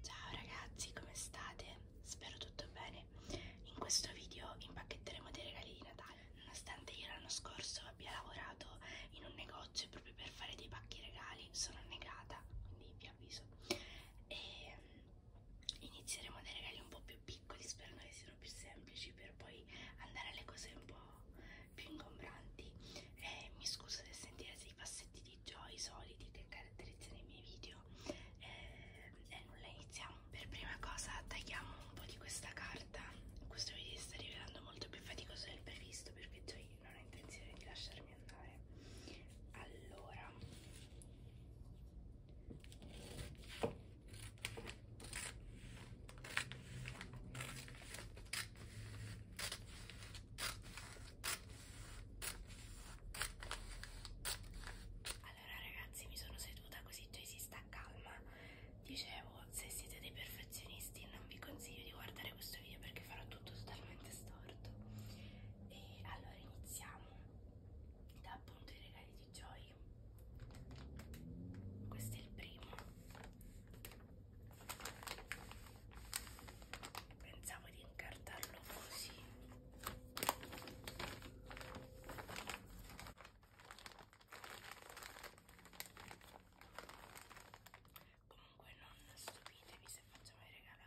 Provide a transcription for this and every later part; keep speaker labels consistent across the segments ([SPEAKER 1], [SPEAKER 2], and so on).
[SPEAKER 1] Ciao ragazzi, come state? Spero tutto bene. In questo video impacchetteremo dei regali di Natale. Nonostante io l'anno scorso abbia lavorato in un negozio proprio per fare dei pacchi regali, sono negata, quindi vi avviso. E ehm, inizieremo dai regali un po' più piccoli, sperando che siano più semplici per poi andare alle cose un po' più ingombranti. Eh, mi scuso del sentire dei passetti di joy soliti che caratterizzano i miei video. Eh, e eh, eh, nulla, iniziamo. Per prima cosa tagliamo un po' di questa carta. Questo video si sta rivelando molto più faticoso del previsto perché Joy non ho intenzione di lasciarmi andare. Allora, allora ragazzi mi sono seduta così Jay si sta calma. Dicevo, se siete dei perfezionisti non vi consiglio di guardare questo video perché farò tutto totalmente storto. E allora iniziamo da appunto i regali di Joy questo è il primo pensavo di incartarlo così comunque non stupitevi se facciamo i regali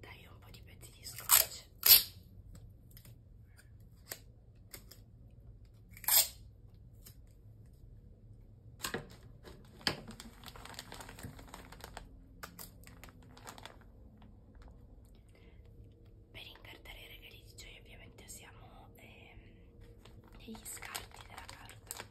[SPEAKER 1] Dai un po' di pezzi di scotch. Per incartare i regali di gioia ovviamente usiamo ehm, degli scarti della carta.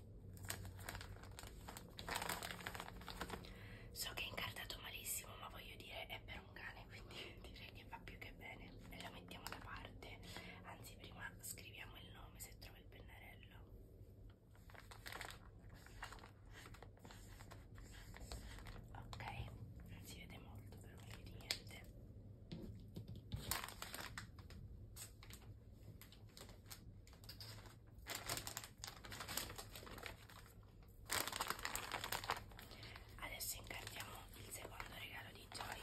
[SPEAKER 1] So che è incartato malissimo, ma voglio dire è per un cane, quindi direi che fa più che bene. E la mettiamo da parte, anzi prima scriviamo il nome se trovo il pennarello. Ok, non si vede molto però meglio di niente. Adesso incartiamo il secondo regalo di Joy.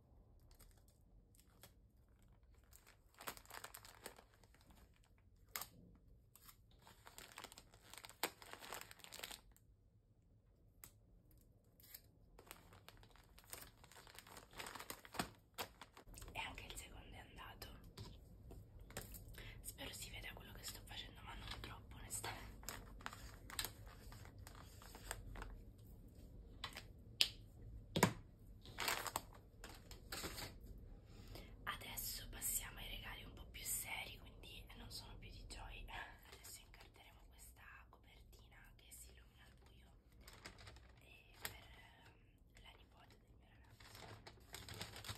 [SPEAKER 1] E anche il secondo è andato. Spero si veda quello che sto facendo, ma non troppo onestamente. Adesso passiamo ai regali un po' più seri, quindi non sono più di Joy. Adesso incarteremo questa copertina che si illumina al buio e per ehm, la nipote del mio ragazzo.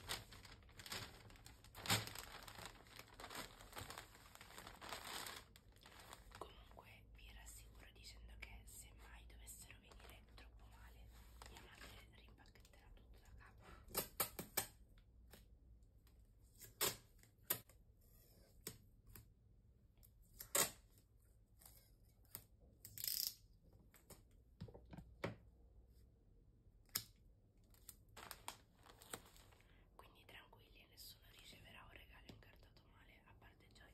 [SPEAKER 1] Comunque vi rassicuro dicendo che se mai dovessero venire troppo male, mia madre rimpacchetterà tutto da capo. Quindi tranquilli, nessuno riceverà un regalo incartato male, a parte Joy.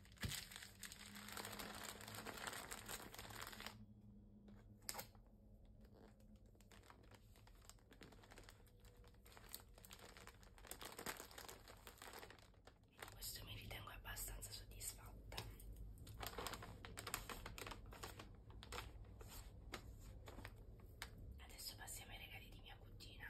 [SPEAKER 1] In questo mi ritengo abbastanza soddisfatta. Adesso passiamo ai regali di mia cugina.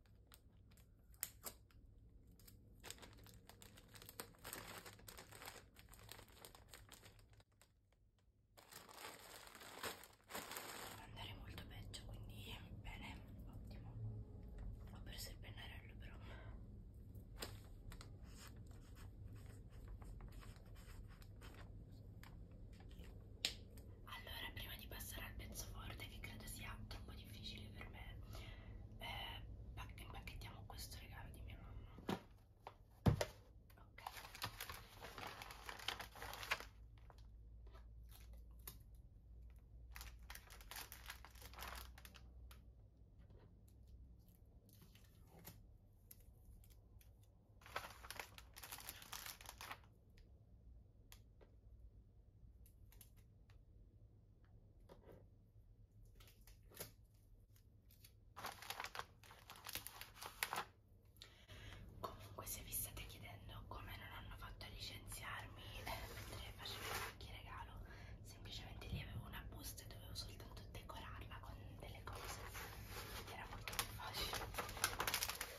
[SPEAKER 1] andare molto peggio quindi bene ottimo ho perso il pennarello però allora, prima di passare al pezzo forte, che credo sia troppo difficile per me, eh, pacch impacchettiamo questo regalo di mia mamma. Ok. Comunque se vi state chiedendo come non hanno fatto a licenziarmi eh, mentre facevo qualche regalo, semplicemente lì avevo una busta e dovevo soltanto decorarla con delle cose ed era molto più facile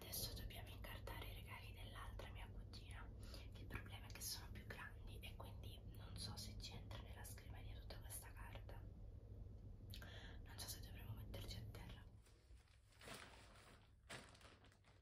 [SPEAKER 1] Adesso dobbiamo incartare i regali dell'altra mia cugina. Il problema è che sono più grandi e quindi non so se ci entra nella scrivania tutta questa carta. Non so se dovremmo metterci a terra.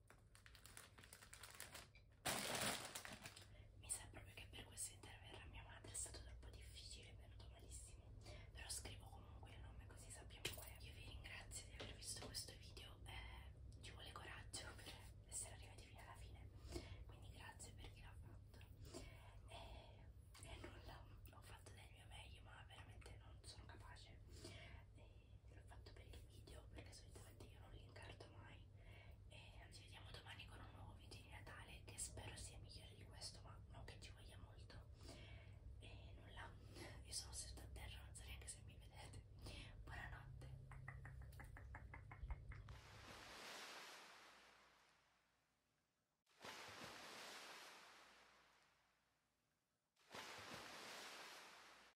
[SPEAKER 1] Mi sa proprio che per questo interverrà mia madre, è stato troppo difficile, è venuto malissimo, però scrivo comunque il nome così sappiamo qual è. Io vi ringrazio di aver visto questo video, eh, ci vuole coraggio per essere arrivati fino alla fine, quindi grazie per chi l'ha fatto. E, eh, e eh, nulla, ho fatto del mio meglio ma veramente non sono capace. E, eh, che l'ho fatto per il video perché solitamente io non li incarto mai e ci vediamo domani con un nuovo video di Natale che spero sia migliore di questo ma non che ci voglia molto e nulla io sono seduta a terra non so neanche se mi vedete buonanotte